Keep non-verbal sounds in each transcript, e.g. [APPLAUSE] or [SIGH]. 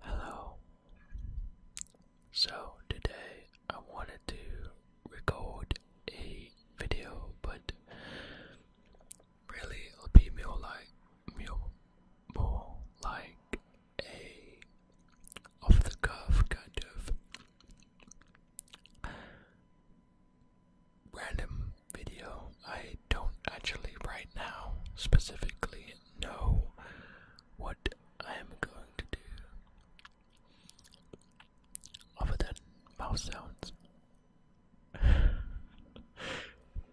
Hello. So, today I wanted to record a video, but really it'll be more like, more, more like a off the cuff kind of random video. I don't actually right now specifically know what I am going to do other than mouse sounds. [LAUGHS]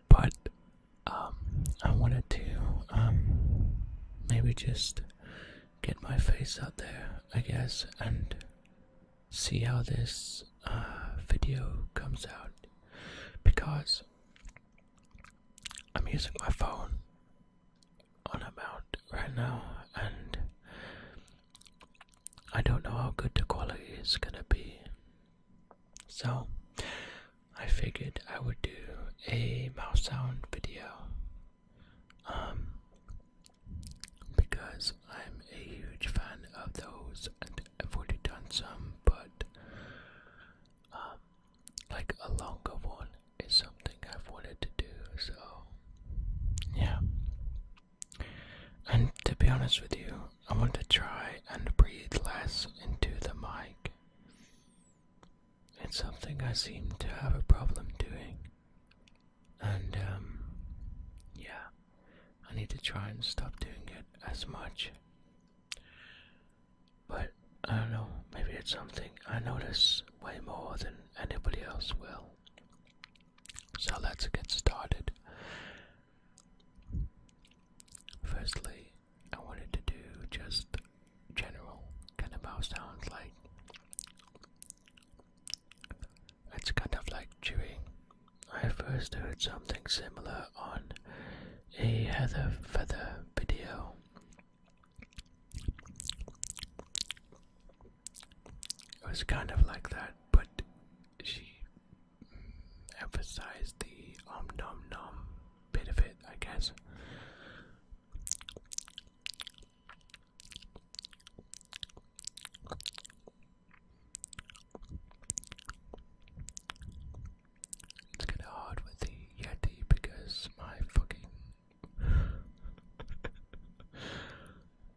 but um, I wanted to um, maybe just get my face out there, I guess, and see how this uh, video comes out because I'm using my phone on a mount right now, and I don't know how good the quality is gonna be. So, I figured I would do a mouse sound video. Um, because I'm a huge fan of those, and I've already done some, but um, like a longer one is something I've wanted to do. So yeah, and to be honest with you, I want to try and breathe less into the mic. It's something I seem to have a problem doing. And, um, yeah, I need to try and stop doing it as much but I don't know, maybe it's something I notice way more than anybody else will. So let's get started. Firstly, I wanted to do just general kind of mouse sounds like it's kind of like chewing I first heard something similar on a Heather Feather video. It was kind of like that, but she emphasized the "um nom nom bit of it, I guess. It's kinda hard with the Yeti because my fucking [LAUGHS]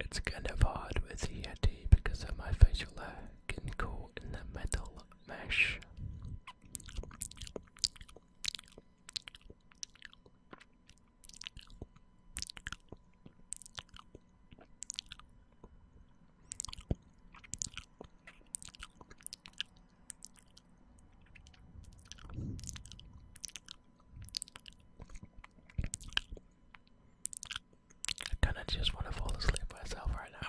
It's kind of hard with the Yeti because of my facial hair getting caught in the metal mesh. I kinda just wanna fall asleep myself right now.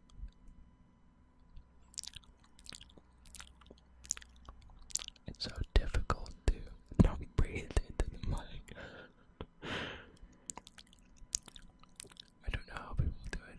It's so difficult to not breathe into the mic. I don't know how people do it.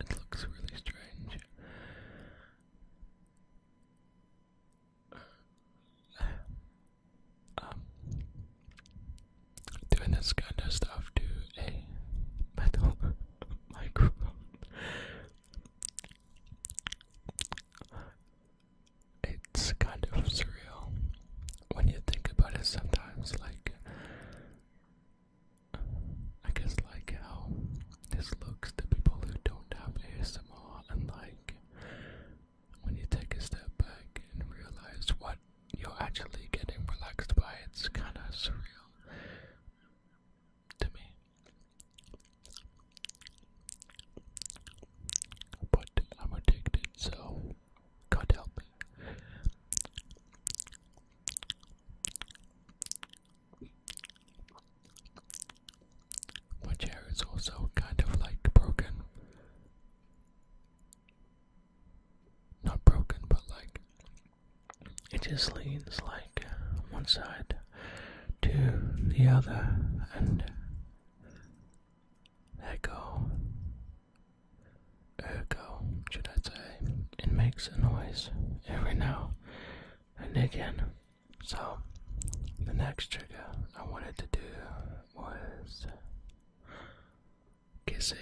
It looks really strange. Um, doing this kind of stuff to a metal [LAUGHS] microphone. It's kind of surreal when you think about it sometimes, like, I guess, like how this looks to people who don't have ASMR and like when you take a step back and realize what you're actually getting relaxed by, it's kind of surreal to me. But I'm addicted, so God my chair is also kind of like broken. Not broken, but like it just leans like one side to the other, and echo, ergo, should I say? It makes a noise every now and again. So, the next trigger I wanted to do was kissing,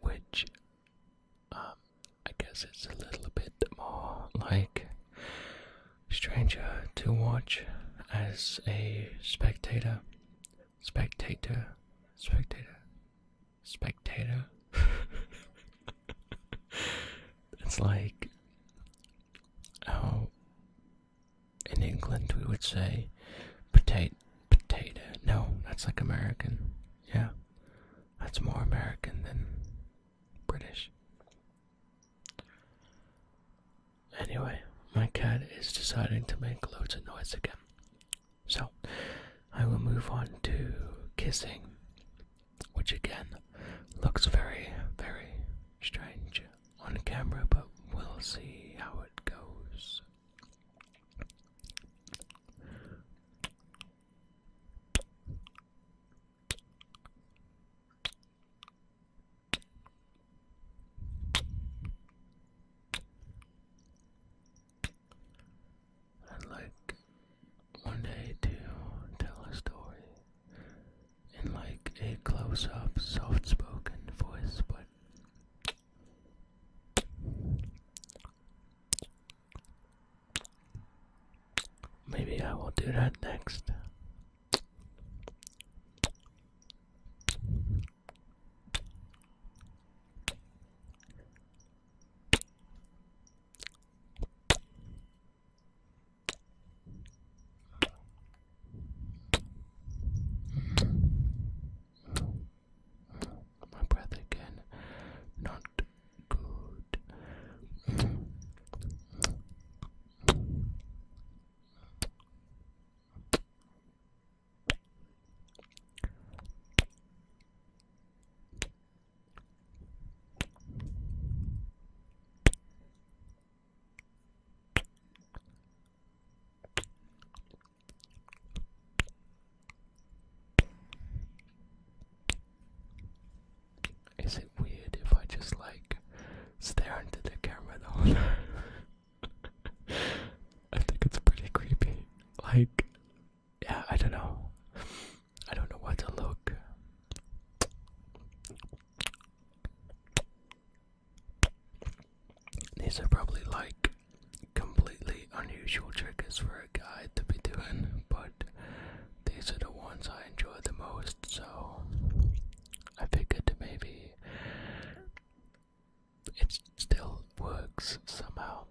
which um, I guess it's a little bit more like Stranger to watch as a spectator, spectator, spectator, spectator. [LAUGHS] it's like how in England we would say potato potato. No, that's like American. Yeah. That's more American than British. Anyway, my cat is deciding to make loads of noise again. So, I will move on to kissing, which again looks very, very strange on camera, but we'll see how it goes. I'd like one day to tell a story in like a close up, soft spoken voice, but. Maybe I will do that next. My breath again, not good. Is it weird if I just like stare into the camera the [LAUGHS] I think it's pretty creepy. Like, yeah, I don't know. I don't know what to look. These are probably like completely unusual triggers for a guy to be doing, but these are the ones I enjoy the most, so I figured maybe it still works somehow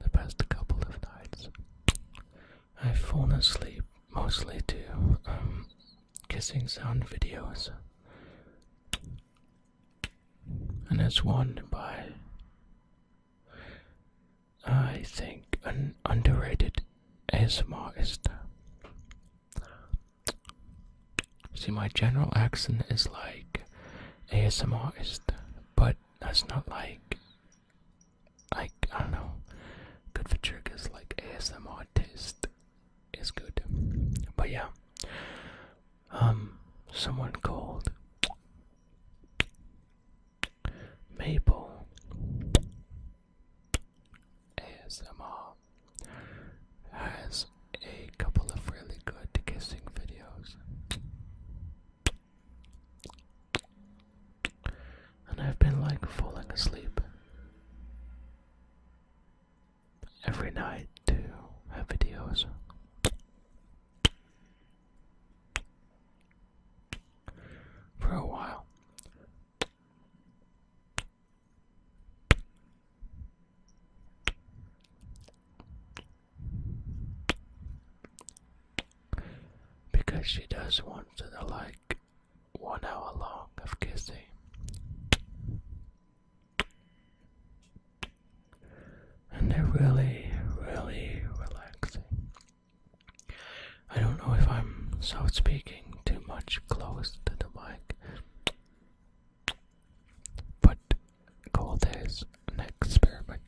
the past couple of nights. I've fallen asleep mostly to um, kissing sound videos, and there's won by I think an underrated ASMRist. See, my general accent is like ASMRist, but that's not like, like, I don't know, good for triggers, like ASMR taste is good. But yeah, um, someone called Maple ASMR has a couple of really good kissing videos. And I've been like falling asleep every night to have videos. For a while. Because she does want to the, like one hour long of kissing. And they're really, really relaxing. I don't know if I'm soft speaking too much close to the mic, but Call this an experiment.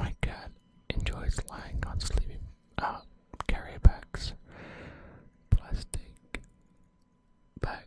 My cat enjoys lying on sleeping uh, carry bags, plastic bags.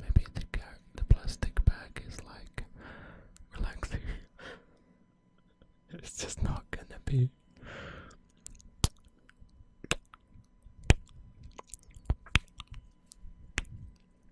Maybe the the plastic bag is like relaxing. [LAUGHS] it's just not gonna be.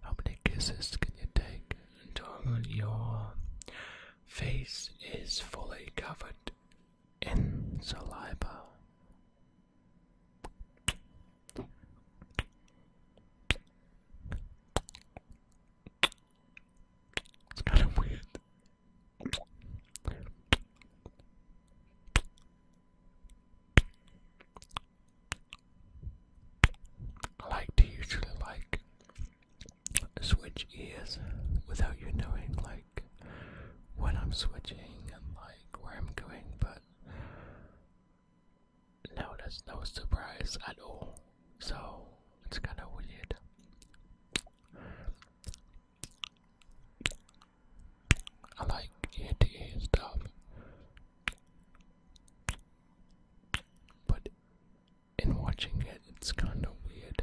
How many kisses can you take until your face is fully covered in saliva? It's kind of weird. I like to usually like switch ears without you knowing like when I'm switching and like where I'm going but now there's no surprise at all so it's kinda weird I like ear to ear stuff, but in watching it, it's kind of weird.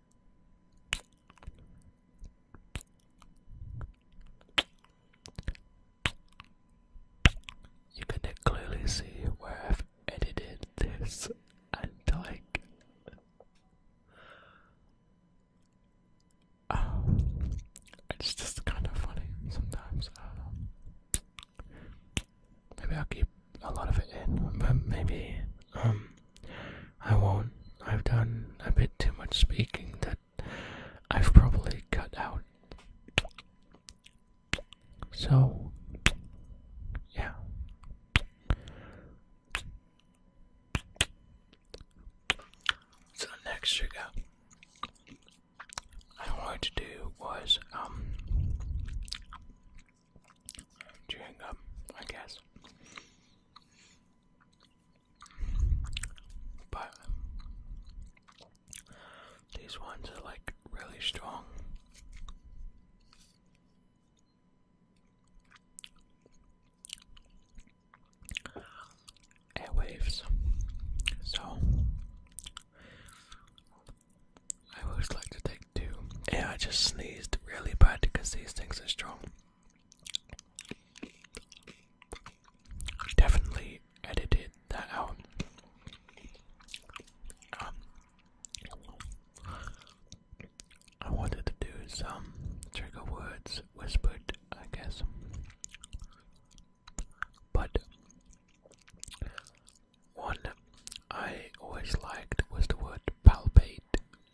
You can clearly see where I've edited this and like [SIGHS] it's just kind of funny sometimes. maybe I'll keep a lot of it in, but maybe um I won't. I've done a bit too much speaking that I've probably cut out. So, yeah. So next trigger I wanted to do was um chewing gum, I guess. But these ones are like really strong. Airwaves. So I always like to take two. Yeah, I just sneezed really bad because these things are strong. Definitely edited that out. Um, I wanted to do some trigger words whispered, I guess, but one I always liked was the word palpate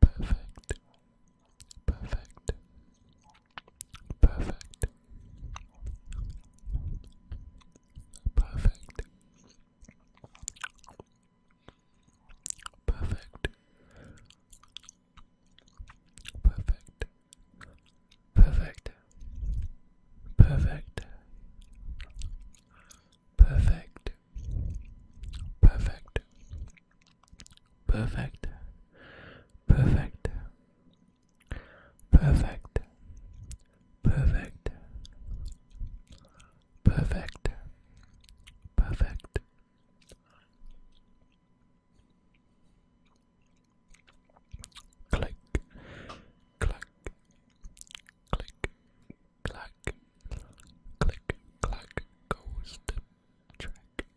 perfect, perfect, perfect, perfect, perfect, perfect. Perfect. Perfect. Perfect. Perfect. Perfect. Perfect. Perfect. Perfect. Perfect. Perfect. Click. Click. Click. Clack. Click. Clack. Goes the track.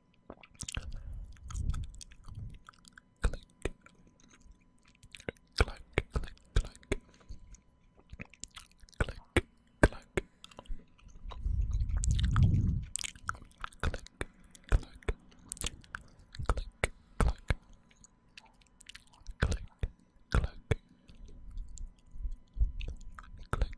Click. Clack, clack, clack. Click, clack. Click, clack. Click, clack. Click, clack. Click,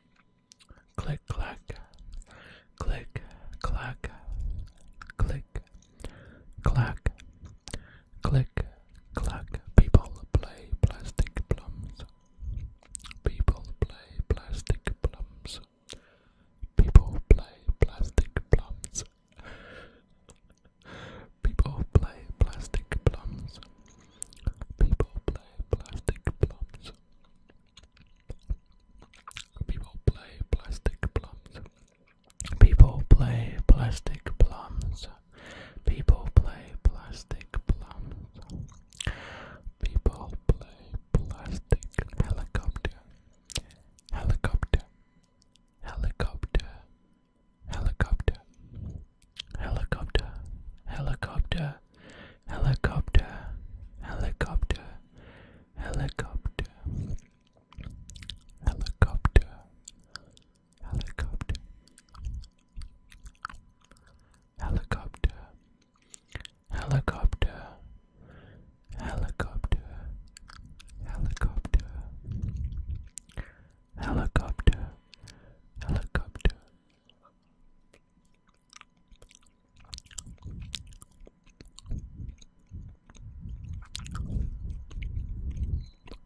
Click clack, click clack, click clack, click clack. People play plastic plums. People play plastic plums. People play plastic plums. People play plastic plums. People play plastic plums. People play plastic plums. People play plastic plums. People play plastic plums. People play plastic plums. People play plastic helicopter. Helicopter. Helicopter. Helicopter. Helicopter, helicopter, helicopter, helicopter, helicopter, helicopter, helicopter, helicopter, helicopter, helicopter, helicopter, helicopter, helicopter.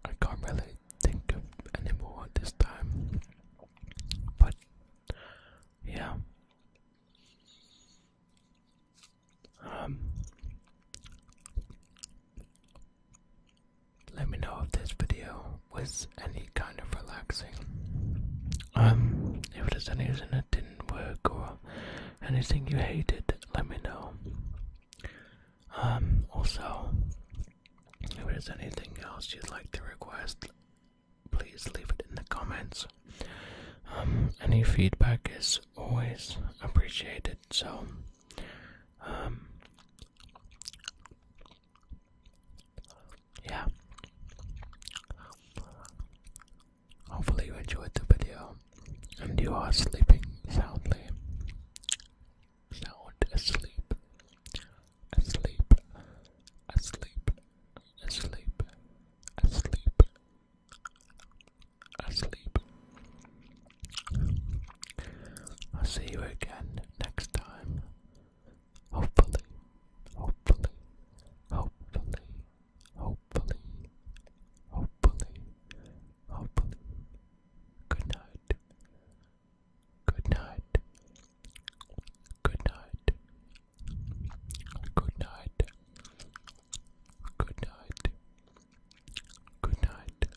I can't really think of anymore at this time, but yeah. Um, let me know if this video was any kind of relaxing. Um, if there's any reason it didn't work or anything you hated, let me know. Um, also, if there's anything else you'd like to request, please leave it in the comments. Um, any feedback is always appreciated, so, um, yeah hopefully you enjoyed the video and you are sleeping soundly sound asleep asleep asleep asleep asleep asleep I'll see you again next time Hopefully, hopefully, hopefully, hopefully, hopefully, hopefully. Good night. Good night. Good night. Good night. Good night. Good night.